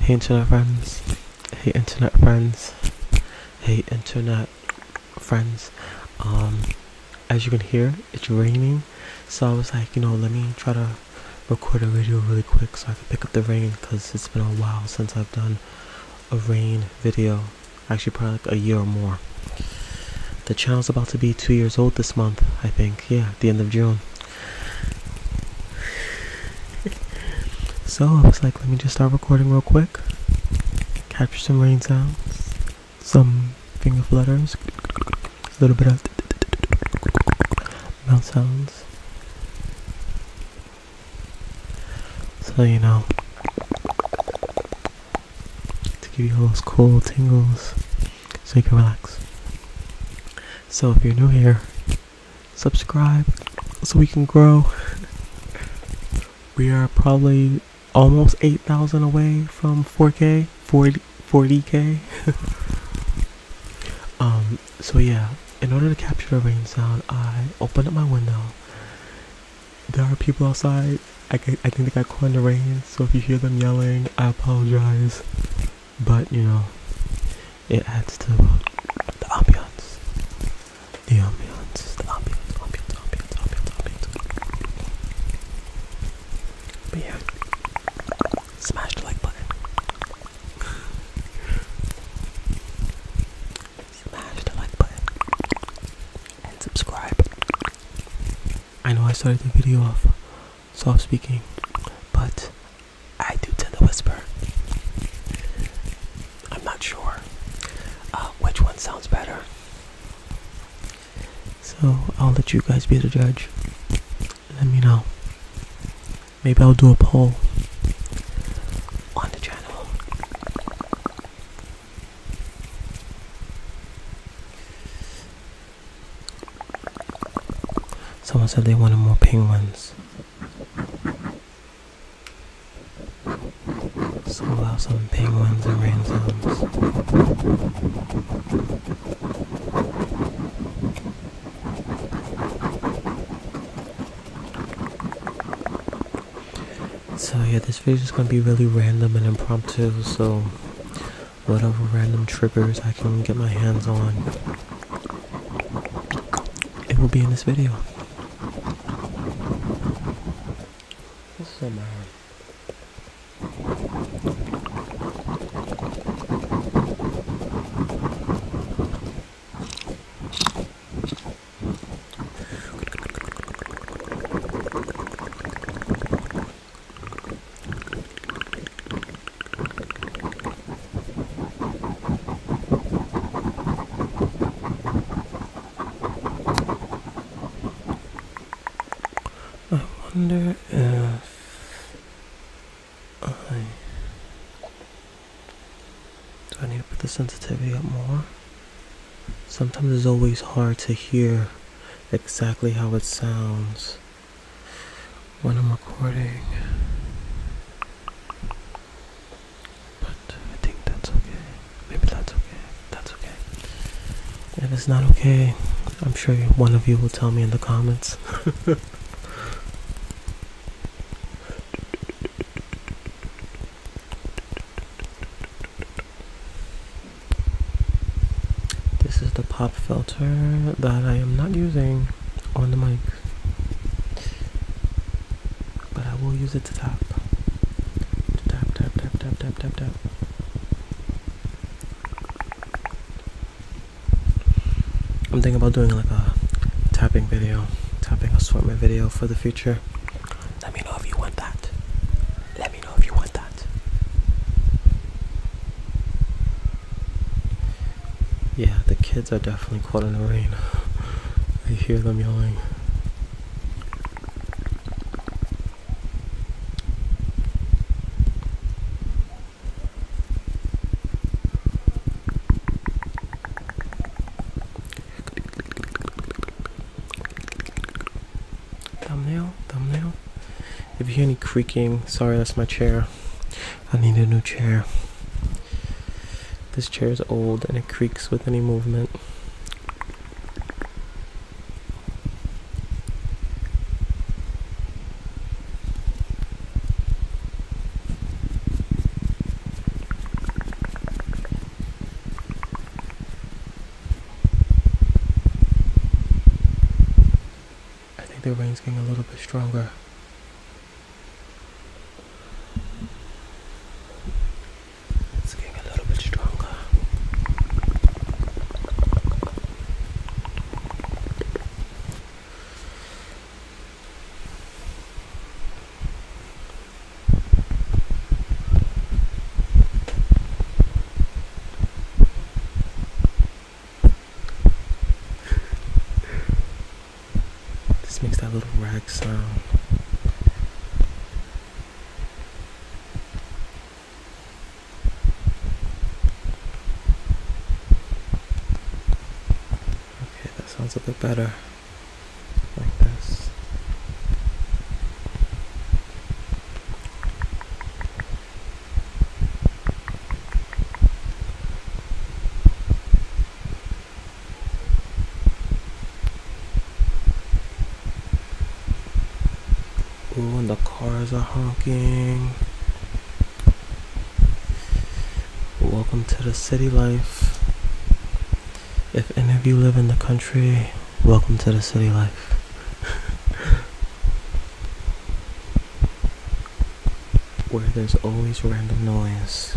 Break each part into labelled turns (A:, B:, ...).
A: Hey internet friends. Hey internet friends. Hey internet friends. Um as you can hear, it's raining. So I was like, you know, let me try to record a video really quick so I can pick up the rain because it's been a while since I've done a rain video. Actually probably like a year or more. The channel's about to be two years old this month, I think. Yeah, at the end of June. so I was like, let me just start recording real quick. Capture some rain sounds, some finger flutters, a little bit of mouth sounds. So you know, to give you all those cool tingles so you can relax. So if you're new here, subscribe so we can grow. We are probably almost 8,000 away from 4K, 40, k um, so yeah, in order to capture the rain sound, I opened up my window. There are people outside. I, I think they got caught in the rain, so if you hear them yelling, I apologize but you know, it adds to the ambiance. The ambiance, the ambiance, ambiance, ambiance, ambiance, ambiance. But yeah, smash the like button. smash the like button and subscribe. I know I started the video off soft speaking, but I do tend to whisper. I'm not sure uh, which one sounds better. So I'll let you guys be the judge. Let me know. Maybe I'll do a poll on the channel. Someone said they wanted more penguins. So we'll have some penguins and ransoms. So yeah, this video is going to be really random and impromptu, so whatever random trippers I can get my hands on it will be in this video. This is a man. I wonder if I do I need to put the sensitivity up more? Sometimes it's always hard to hear exactly how it sounds when I'm recording. But I think that's okay. Maybe that's okay. That's okay. If it's not okay, I'm sure one of you will tell me in the comments. this is the pop filter that I am not using on the mic. But I will use it to tap. tap, tap, tap, tap, tap, tap. I'm thinking about doing like a tapping video, tapping assortment video for the future. Let me know if you want that. Let me know if you want that. Yeah, the kids are definitely caught in the rain. I hear them yelling. thumbnail thumbnail if you hear any creaking sorry that's my chair I need a new chair. This chair is old and it creaks with any movement. I think the rain's getting a little bit stronger. It's getting a little bit stronger this makes that little rag sound. Okay, that sounds a bit better. Like this. Ooh, and the cars are honking. Welcome to the city life. If any of you live in the country, welcome to the city life. where there's always random noise.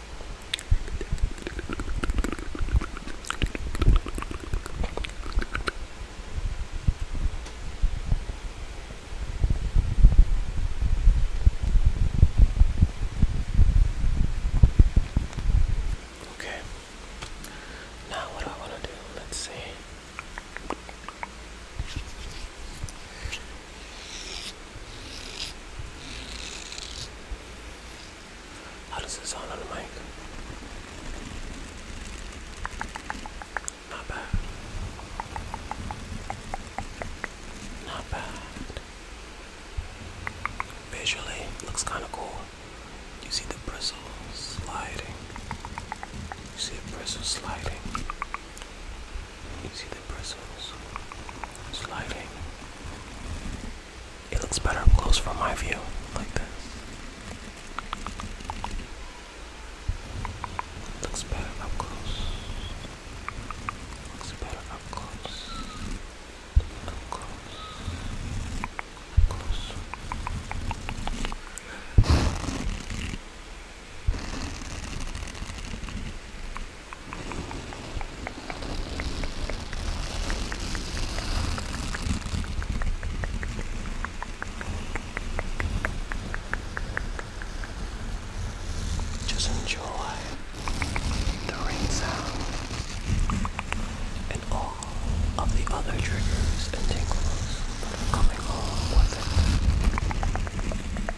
A: Okay. Now what I want to do, let's see. How does it sound on the mic? Not bad. Not bad. Visually, looks kind of cool. You see the bristles sliding. You see a bristle sliding. You see the bristles sliding. It looks better up close from my view, like this. looks better up close. Looks better up close. Up close. Up close. Just enjoy the ring sound and all of the other triggers and tingles coming with it.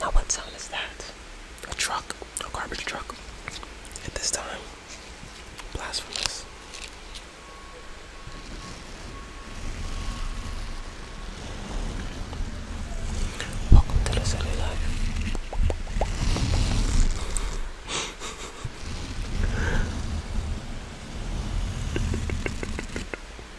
A: Now, what sound is that? A truck, a garbage truck. At this time, blasphemous. Welcome to the city life.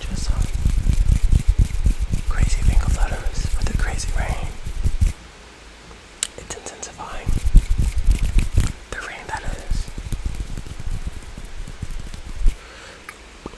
A: Just crazy finger flutters with the crazy rain. It's intensifying. The rain that is.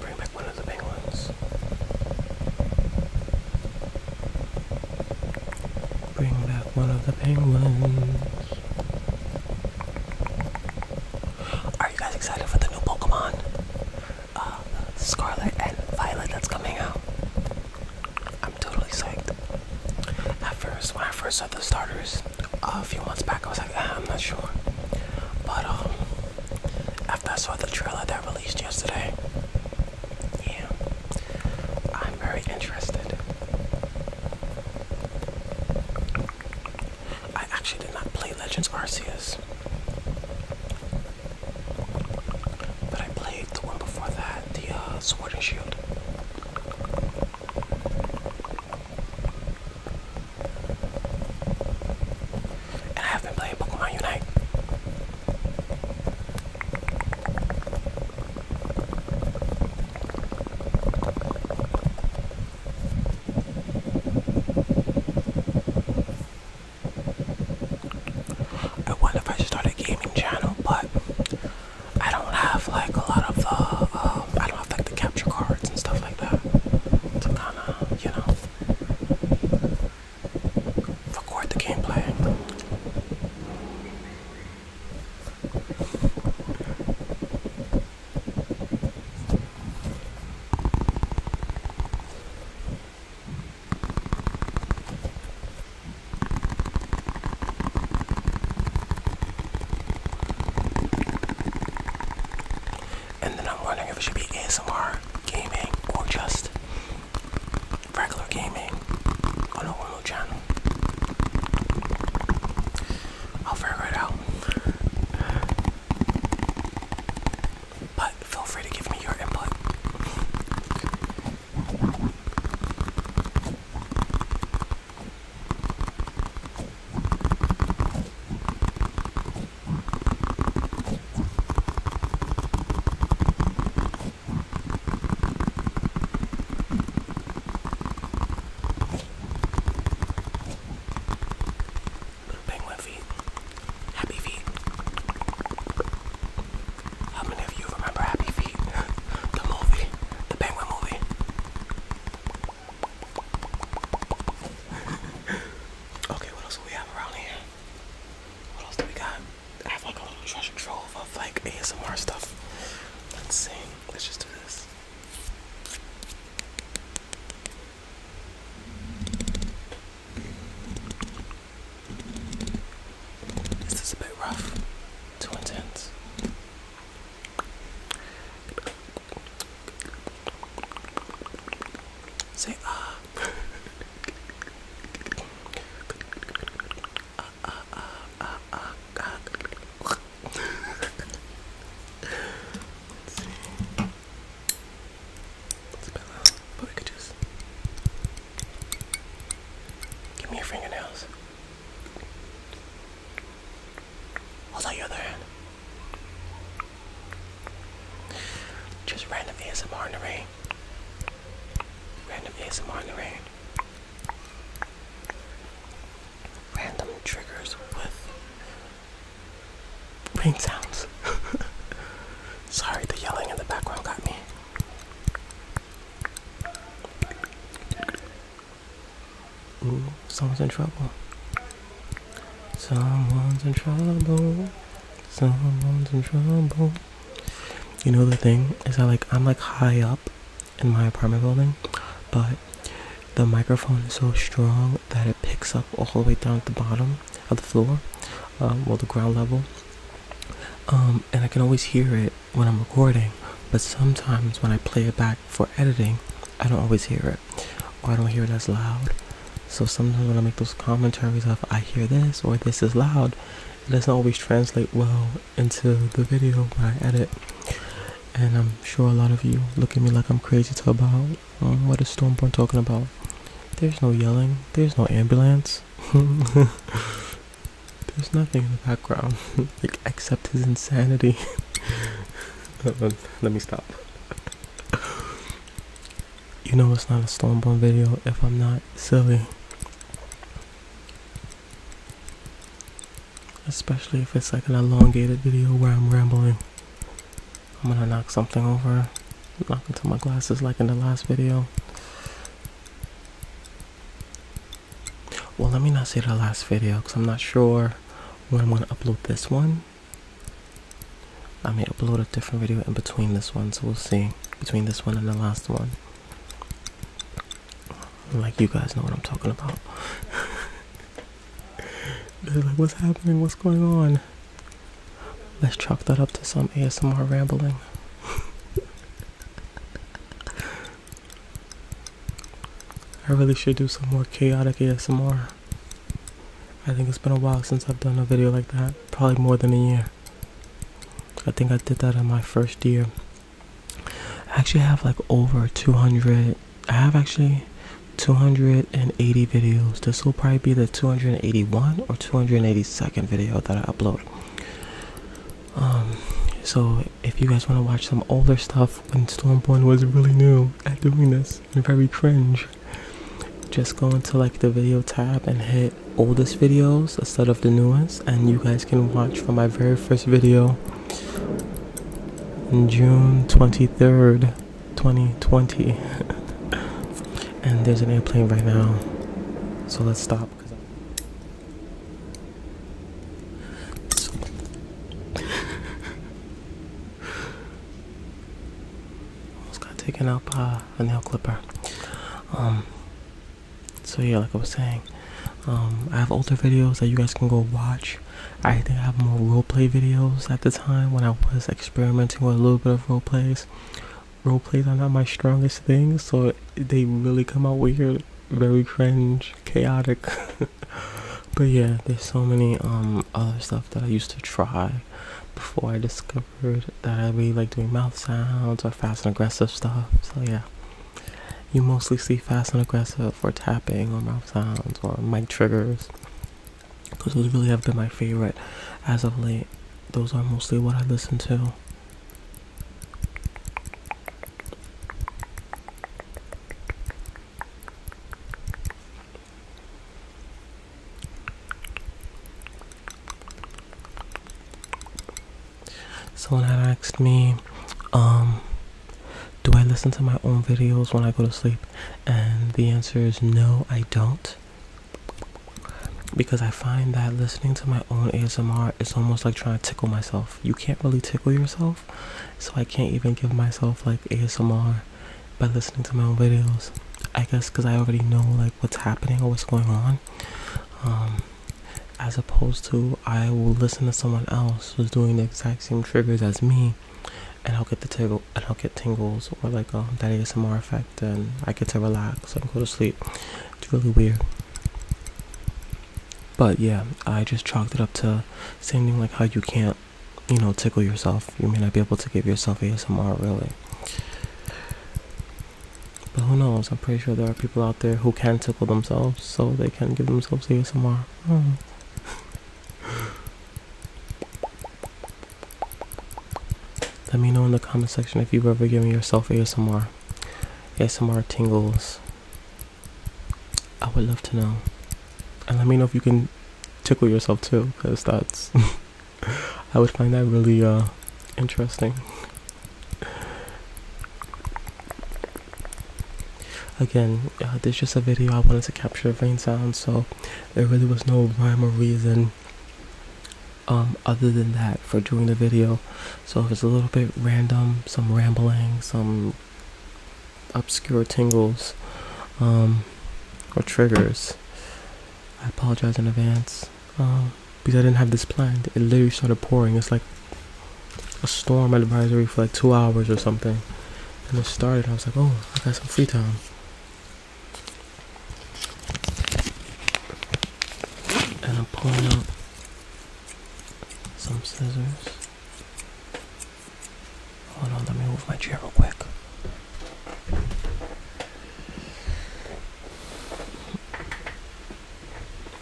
A: Bring back one of the penguins. Bring back one of the penguins. Are you guys excited for the new Pokemon? Uh, Scarlet and Violet that's coming out. I'm totally psyched. At first, when I first saw the starters uh, a few months back, I was like, ah, I'm not sure. But um, after I saw the trailer that released yesterday, yeah, I'm very interested. I actually did not play Legends Arceus. But I played the one before that, the uh, Sword and Shield. And I have been playing Pokemon Unite. I wonder if I should start a gaming channel, but I don't have like a lot of the, uh, um, I don't have like the capture cards and stuff like that to kind of, you know, record the gameplay. And then I'm wondering if it should be ASMR gaming or just regular gaming on a normal channel. I'll figure it out. But feel free to give me your input. Penguin feet. Happy feet. How many of you remember Happy Feet? the movie. The penguin movie. okay, what else do we have around here? What else do we got? I have like a little treasure trove of like ASMR stuff. Let's see. Let's just do this. This is a bit rough, too intense. Say ah. ah, ah, ah, ah, ah, Let's see give me your fingernails. Hold out your other hand. Just random ASMR in the rain. Random Random triggers with rain sounds. Sorry, the yelling in the background got me. Ooh, someone's in trouble. Someone's in trouble. Someone's in trouble. You know the thing is that like I'm like high up in my apartment building, but the microphone is so strong that it picks up all the way down at the bottom of the floor, um, well, the ground level. Um, and I can always hear it when I'm recording, but sometimes when I play it back for editing, I don't always hear it, or I don't hear it as loud. So sometimes when I make those commentaries of I hear this or this is loud, it doesn't always translate well into the video when I edit. And I'm sure a lot of you look at me like I'm crazy to about Oh, what is Stormborn talking about? There's no yelling. There's no ambulance. There's nothing in the background except his insanity. Let me stop. You know it's not a Stormborn video if I'm not silly. Especially if it's like an elongated video where I'm rambling. I'm gonna knock something over. Knock into my glasses like in the last video. Well, let me not say the last video because I'm not sure when I'm gonna upload this one. I may upload a different video in between this one, so we'll see. Between this one and the last one. Like you guys know what I'm talking about. They're like, what's happening? What's going on? Let's chalk that up to some ASMR rambling. I really should do some more chaotic ASMR. I think it's been a while since I've done a video like that. Probably more than a year. I think I did that in my first year. I actually have like over 200. I have actually 280 videos. This will probably be the 281 or 282nd video that I upload. Um, so if you guys want to watch some older stuff when Stormborn was really new at doing this and very cringe, just go into like the video tab and hit oldest videos instead of the newest, and you guys can watch from my very first video in June 23rd 2020 and there's an airplane right now so let's stop almost got taken out by a nail clipper um so yeah like i was saying um i have older videos that you guys can go watch i think i have more roleplay videos at the time when i was like experimenting with a little bit of role plays. Role plays are not my strongest thing, so they really come out weird, very cringe, chaotic. but yeah, there's so many um other stuff that I used to try before I discovered that I really like doing mouth sounds or fast and aggressive stuff. So yeah. You mostly see fast and aggressive or tapping or mouth sounds or mic triggers because those really have been my favorite as of late. Those are mostly what I listen to. Someone had asked me, um, do I listen to my own videos when I go to sleep? And the answer is no, I don't because I find that listening to my own ASMR is almost like trying to tickle myself. You can't really tickle yourself, so I can't even give myself like ASMR by listening to my own videos. I guess because I already know like what's happening or what's going on. Um, as opposed to I will listen to someone else who's doing the exact same triggers as me and I'll get the tingle and I'll get tingles or like um that ASMR effect and I get to relax and go to sleep. It's really weird. But yeah, I just chalked it up to same like how you can't, you know, tickle yourself. You may not be able to give yourself ASMR really. But who knows? I'm pretty sure there are people out there who can tickle themselves so they can give themselves ASMR. Mm. Let me know in the comment section if you've ever given yourself ASMR. ASMR tingles. I would love to know. And let me know if you can tickle yourself too, because that's. I would find that really uh, interesting. Again, uh, this is just a video I wanted to capture rain sounds, so there really was no rhyme or reason um, other than that for doing the video so if it's a little bit random some rambling some obscure tingles um, or triggers i apologize in advance um, because i didn't have this planned it literally started pouring it's like a storm advisory for like two hours or something and it started i was like oh i got some free time and I'm pulling out some scissors. Hold on, let me move my chair real quick.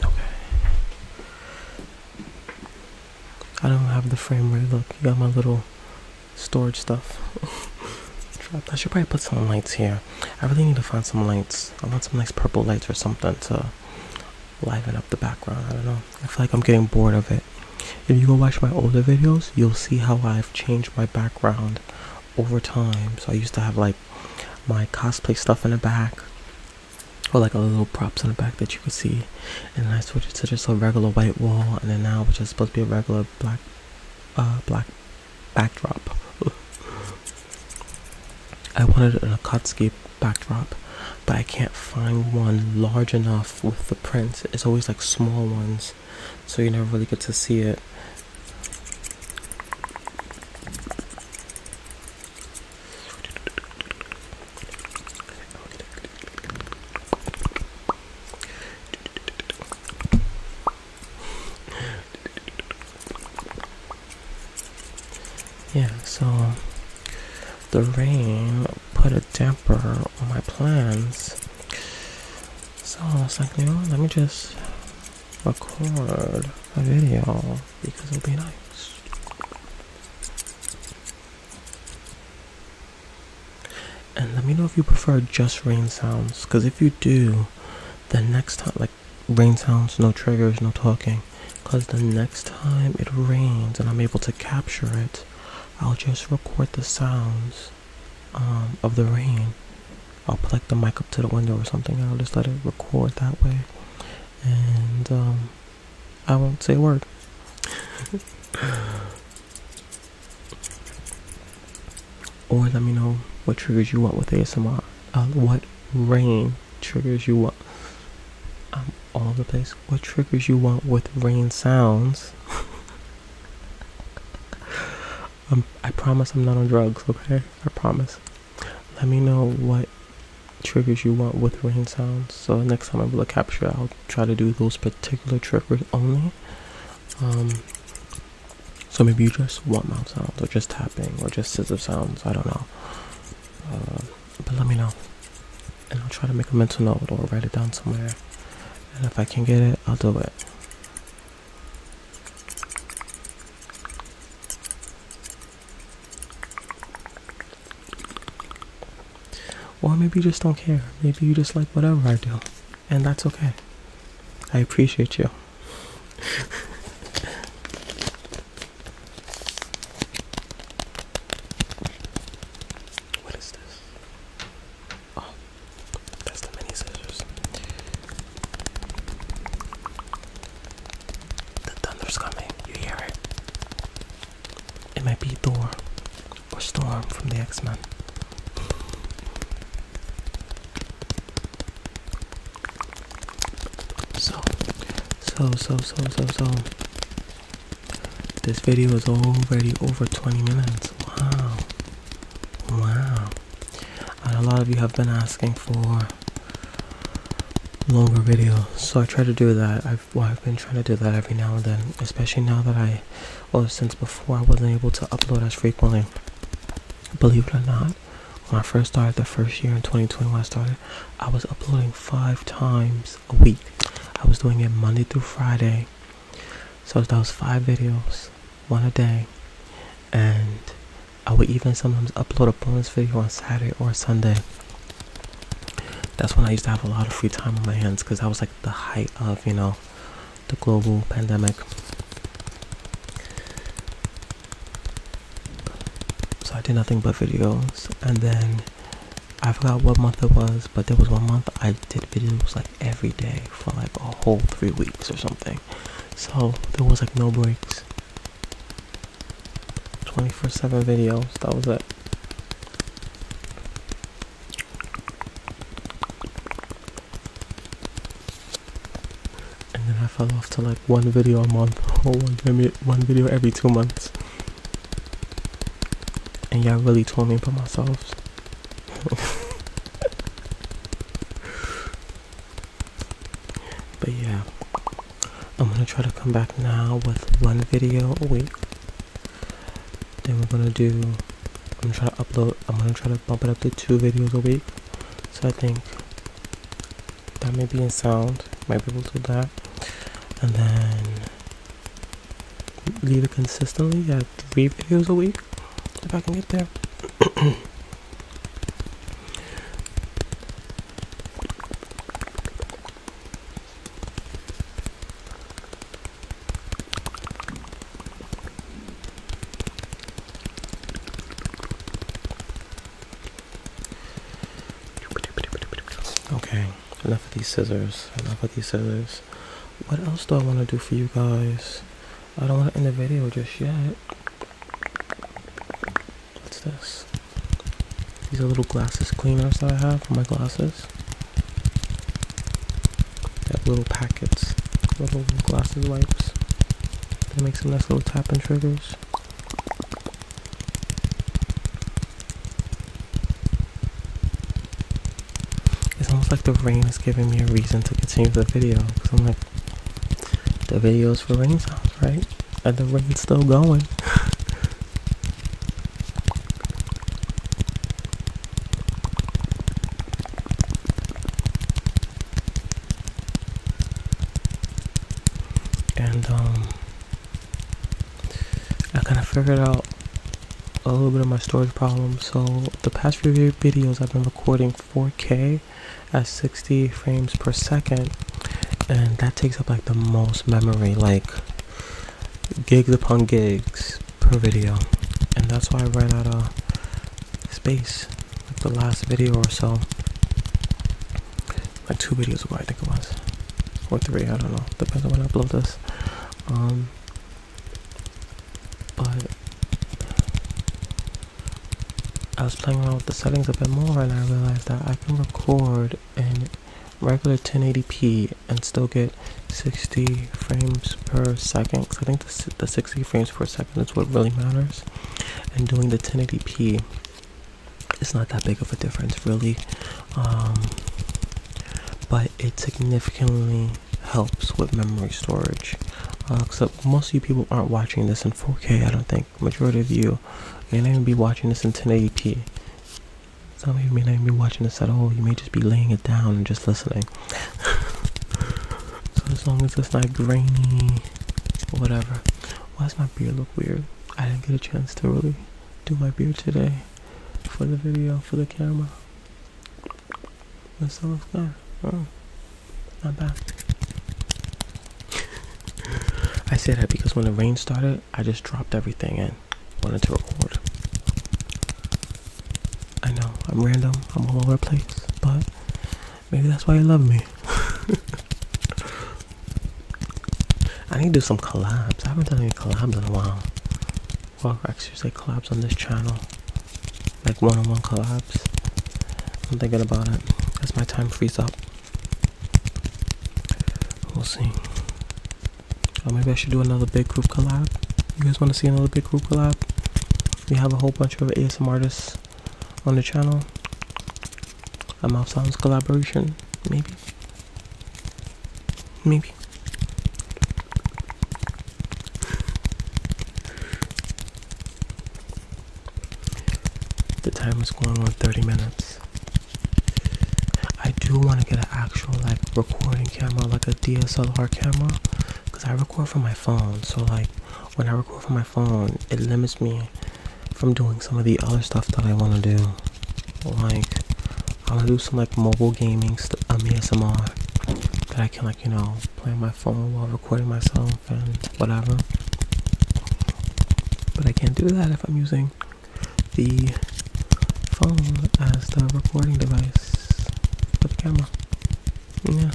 A: Okay. I don't have the frame ready. Look, you got my little storage stuff I should probably put some lights here. I really need to find some lights. I want some nice purple lights or something to liven up the background. I don't know. I feel like I'm getting bored of it. If you go watch my older videos, you'll see how I've changed my background over time. So I used to have like my cosplay stuff in the back or like a little props in the back that you could see and then I switched to just a regular white wall and then now which is supposed to be a regular black uh black backdrop. I wanted an Akatsuki backdrop, but I can't find one large enough with the prints. It's always like small ones, so you never really get to see it yeah, so the rain put a damper on my plans. So I let me just record a video because it'll be nice and let me know if you prefer just rain sounds because if you do the next time like rain sounds no triggers no talking because the next time it rains and i'm able to capture it i'll just record the sounds um, of the rain i'll put like the mic up to the window or something i'll just let it record that way and um, i won't say a word Or let me know what triggers you want with ASMR. Uh, what rain triggers you want. I'm all over the place. What triggers you want with rain sounds? um, I promise I'm not on drugs, okay? I promise. Let me know what triggers you want with rain sounds. So next time I a capture, I'll try to do those particular triggers only. Um, so maybe you just want mouth sounds, or just tapping, or just scissor sounds. I don't know. Uh, but let me know, and I'll try to make a mental note or write it down somewhere. And if I can get it, I'll do it. Or maybe you just don't care. Maybe you just like whatever I do and that's okay. I appreciate you. what is this? Oh, that's the mini scissors. The thunder's coming. You hear it? It might be Thor or Storm from the X Men. So, so, so, so, so, This video is already over 20 minutes. Wow. Wow. And a lot of you have been asking for longer videos. So I try to do that. I've, I've been trying to do that every now and then. Especially now that I, well, since before I wasn't able to upload as frequently. Believe it or not, when I first started the first year in 2020 when I started, I was uploading five times a week. I was doing it Monday through Friday. So that was five videos, one a day. And I would even sometimes upload a bonus video on Saturday or Sunday. That's when I used to have a lot of free time on my hands because I was like the height of, you know, the global pandemic. So I did nothing but videos, and then I forgot what month it was, but there was one month I did videos like every day for like a whole three weeks or something. So there was like no breaks. 24 7 videos, that was it and then I fell off to like one video a month or one, one video every two months. And y'all really told me about myself. but yeah, I'm gonna try to come back now with one video a week. Then we're gonna do I'm trying to upload I'm gonna try to bump it up to two videos a week so I think that may be in sound might be able to do that and then leave it consistently at three videos a week if I can get there Okay, enough of these scissors. Enough these scissors. What else do I want to do for you guys? I don't want to end the video just yet. What's this? These are little glasses cleaners that I have for my glasses little packets, little glasses wipes. They make some nice little tapping triggers. It's almost like the rain is giving me a reason to continue the video. Cause I'm like, the video's for rain sounds, right? And the rain's still going and um, I kind of figured out a little bit of my storage problem. So the past few videos I've been recording 4K at 60 frames per second, and that takes up like the most memory, like gigs upon gigs per video, and that's why I ran out of space. Like the last video or so like two videos ago I think it was or three I don't know depends on when I upload this um but I was playing around with the settings a bit more and I realized that I can record in regular 1080p and still get 60 frames per second I think the, 60 frames per second is what really matters and doing the 1080p is not that big of a difference really um, but it significantly helps with memory storage uh, except uh, most of you people aren't watching this in 4k i don't think majority of you may not even be watching this in 1080p some of you may not even be watching this at all you may just be laying it down and just listening so as long as it's not grainy or whatever. Why does my beard look weird? I didn't get a chance to really do my beard today for the video, for the camera. But so it's good. Oh, not bad. I said that because when the rain started, I just dropped everything and wanted to record. I know, I'm random, I'm all over the place, but Maybe that's why you love me. I need to do some collabs. I haven't done any collabs in a while. Well, actually, say collabs on this channel, like one-on-one collabs. I'm thinking about it as my time frees up. We'll see. Or maybe I should do another big group collab. You guys want to see another big group collab? We have a whole bunch of ASM artists on the channel a mouth sounds collaboration maybe maybe the time is going on 30 minutes i do want to get an actual like recording camera like a dslr camera because i record from my phone so like when I record from my phone, it limits me from doing some of the other stuff that I want to do. Like, I want to do some like mobile gaming stuff, um, ASMR that I can like, you know, play on my phone while recording myself and whatever. But I can't do that if I'm using the phone as the recording device for the camera. Yeah.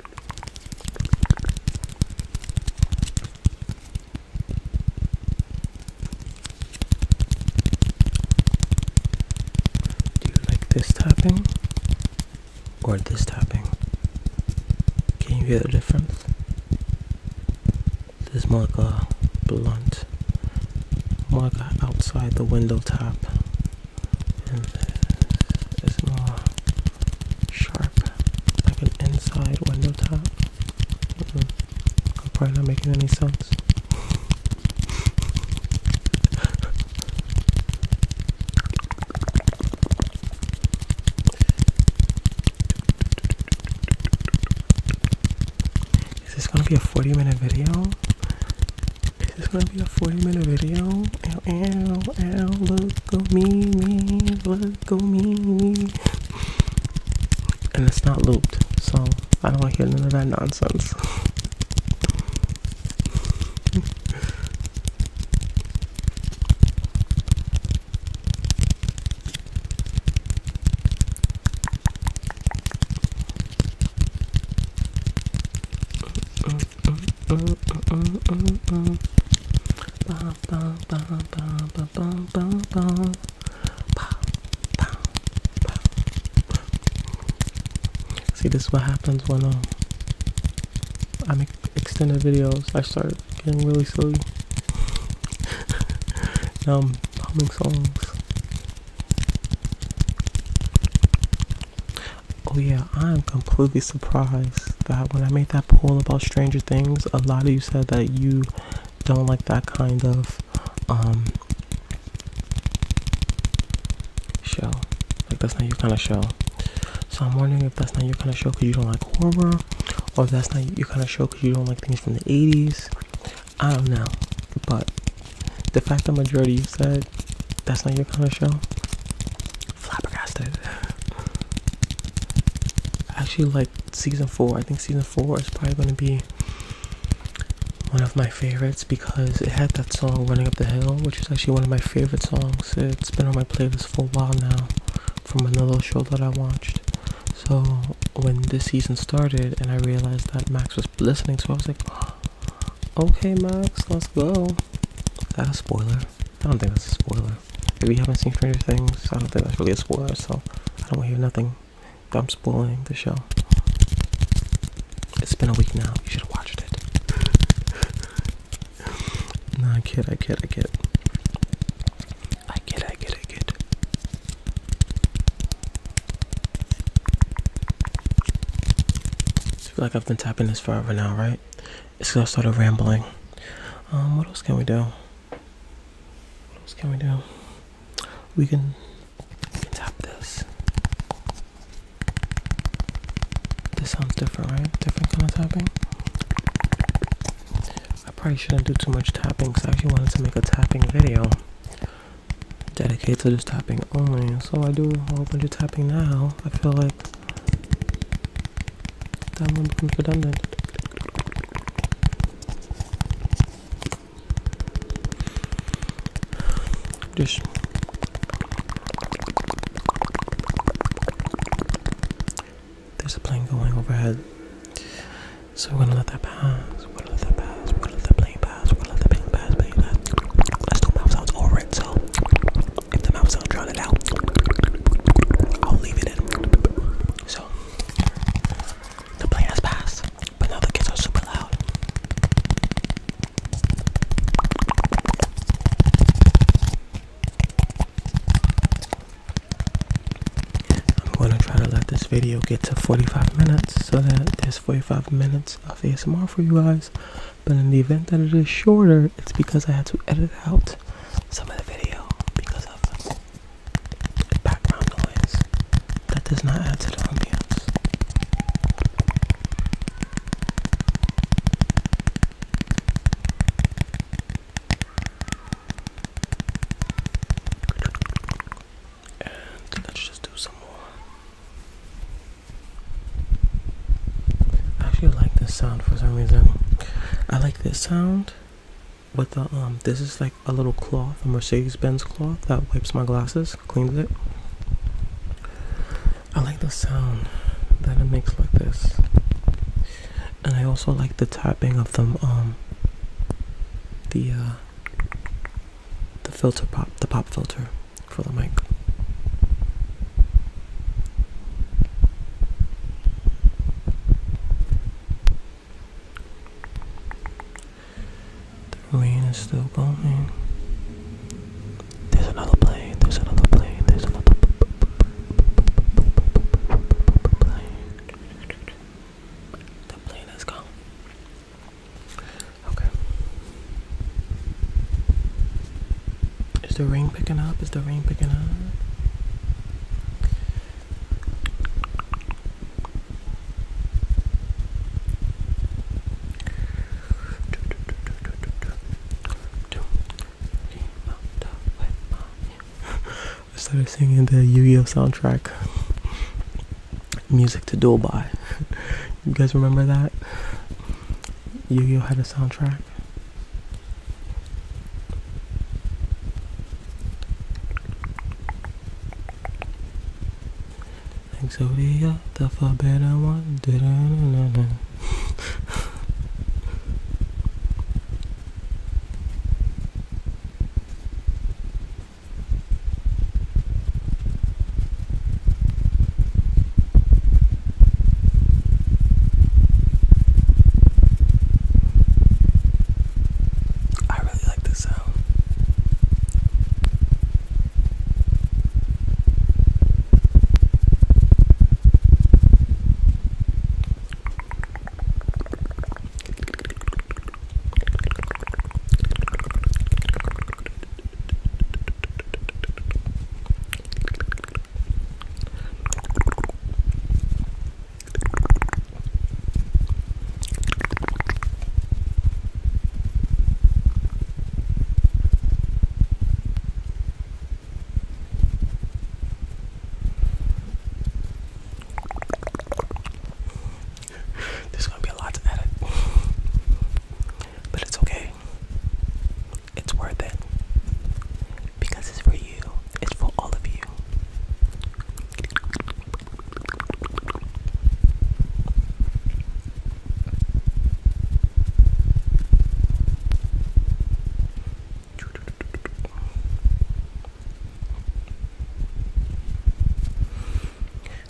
A: Do you like this tapping or this tapping? Can you hear the difference? This is more like a blunt, Marker outside the window tap and this is more sharp, like an inside window top. Mm-hmm. I'm probably not making any sense. Is this gonna be a 40 minute video? This Is gonna be a 40 minute video? ow, ow, ow, look at me, me, look at me, me. And it's not looped, so I don't want to hear none of that nonsense. See, this is what happens when um, I make extended videos. I start getting really silly. now I'm humming songs. Oh yeah, I am completely surprised that when I made that poll about Stranger Things, a lot of you said that you don't like that kind of um, show. Like that's not your kind of show. So I'm wondering if that's not your kind of show because you don't like horror, or if that's not your kind of show because you don't like things from the 80s. I don't know, but the fact that majority said that's not your kind of show flabbergasted. Actually, like season four, I think season four is probably gonna be one of my favorites because it had that song "Running Up the Hill," which is actually one of my favorite songs. It's been on my playlist for a while now, from another show that I watched. So when this season started and I realized that Max was listening, so I was like, "Okay, Max, let's go." Is that a spoiler? I don't think that's a spoiler. If you haven't seen Stranger Things, I don't think that's really a spoiler, so I don't want to hear nothing. I'm spoiling the show. It's been a week now. You should have watched it. no, I kid, I kid, I kid. I kid, I kid, I kid. I feel like I've been tapping this forever now, right? it's gonna start a rambling. Um, what else can we do? What else can we do? We can, tap this. This sounds different, right? Different kind of tapping. I probably shouldn't do too much tapping because I actually wanted to make a tapping video dedicated to just tapping only. So I do a whole bunch of tapping now. I feel like Tamam There's a plane going overhead. So we're gonna let that pass. We're gonna let that pass. We're gonna let that plane pass. We're gonna let that plane pass. Plane pass. That's two sounds over it. So if the mouth sound dry. I'll leave it in. So the plane has passed, but now the kids are super loud. I'm gonna try to let this video get to 45 minutes so that there's 45 minutes of ASMR for you guys. But in the event that it is shorter, it's because I had to edit out some of the video because of background noise that does not add to the ambience. And let's just do some more. I actually like this sound for some reason. I like this sound with the um this is like a little cloth, a Mercedes-Benz cloth that wipes my glasses, cleans it. I like the sound that it makes like this. And I also like the tapping of them um the uh, the filter pop the pop filter for the mic. The rain is still going. There's another plane, there's another plane, there's another plane. The plane is gone. Okay. Is the rain picking up? Is the rain picking up? I started singing the yu gi soundtrack. Music to duel by. you guys remember that? yu gi had a soundtrack. Exodia, the forbidden one. Da -da -da I really like this sound. There's gonna be a lot to edit, but it's okay it's worth it because it's for you, it's for all of you.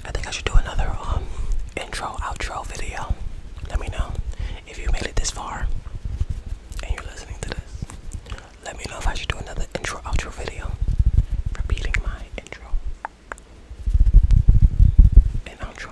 A: I think I should do another um intro outro video. Let me know if you made it this far and you're listening to this, let me know if I should do another intro outro video repeating my intro and outro.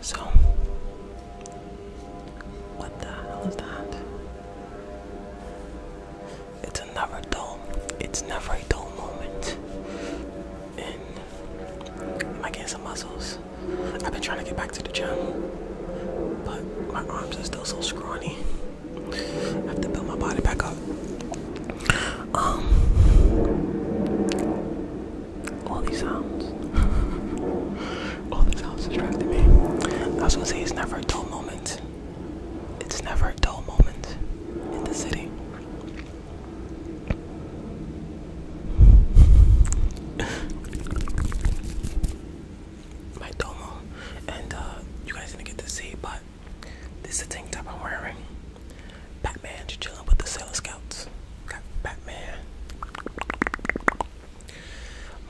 A: So, what the hell is that? It's another dull. It's never a dull moment. And am I getting some muscles? I've been trying to get back to the gym, but my arms are still so scrawny. I have to build my body back up. Um, all these sounds. all these sounds distracted me. I was gonna say it's never a dull moment. It's never a dull moment in the city. My domo, and uh, you guys didn't get to see, but this is the tank top I'm wearing. Batman, you chilling with the Sailor Scouts. Batman.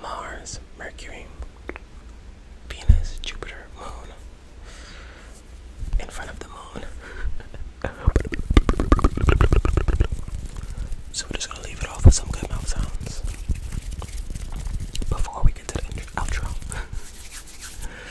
A: Mars, Mercury, Venus, Jupiter, Moon. In front of the moon. so we're just gonna leave it off with some good mouth sounds before we get to the outro.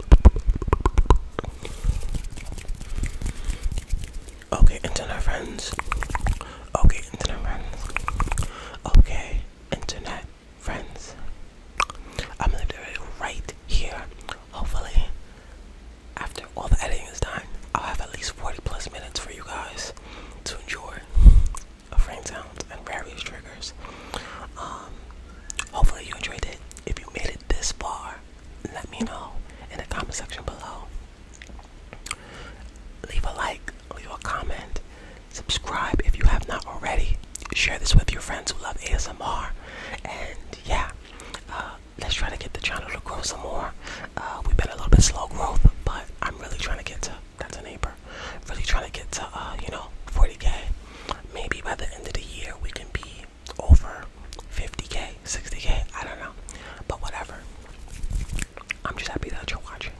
A: Okay, internet friends. Okay, internet friends. Okay, internet friends. I'm gonna do it right here. Hopefully, after all the editing is done, I'll have at least 40 plus minutes for you guys to enjoy a frame count and various triggers. Um, Hopefully you enjoyed it. If you made it this far, let me know in the comment section below. Leave a like, leave a comment, subscribe if you have not already. Share this with your friends who love ASMR. And yeah, uh, let's try to get the channel to grow some more. Uh, we've been a little bit slow growth, but I'm really trying to get to that's a neighbor. Really trying to get to uh, you know 40k maybe by the end of the year we can be over 50k, 60k, I don't know. But whatever. I'm just happy that you're watching.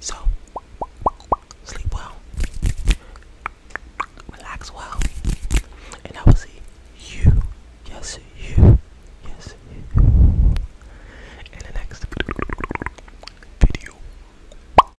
A: So, sleep well, relax well, and I will see you, yes, you, yes, in the next video.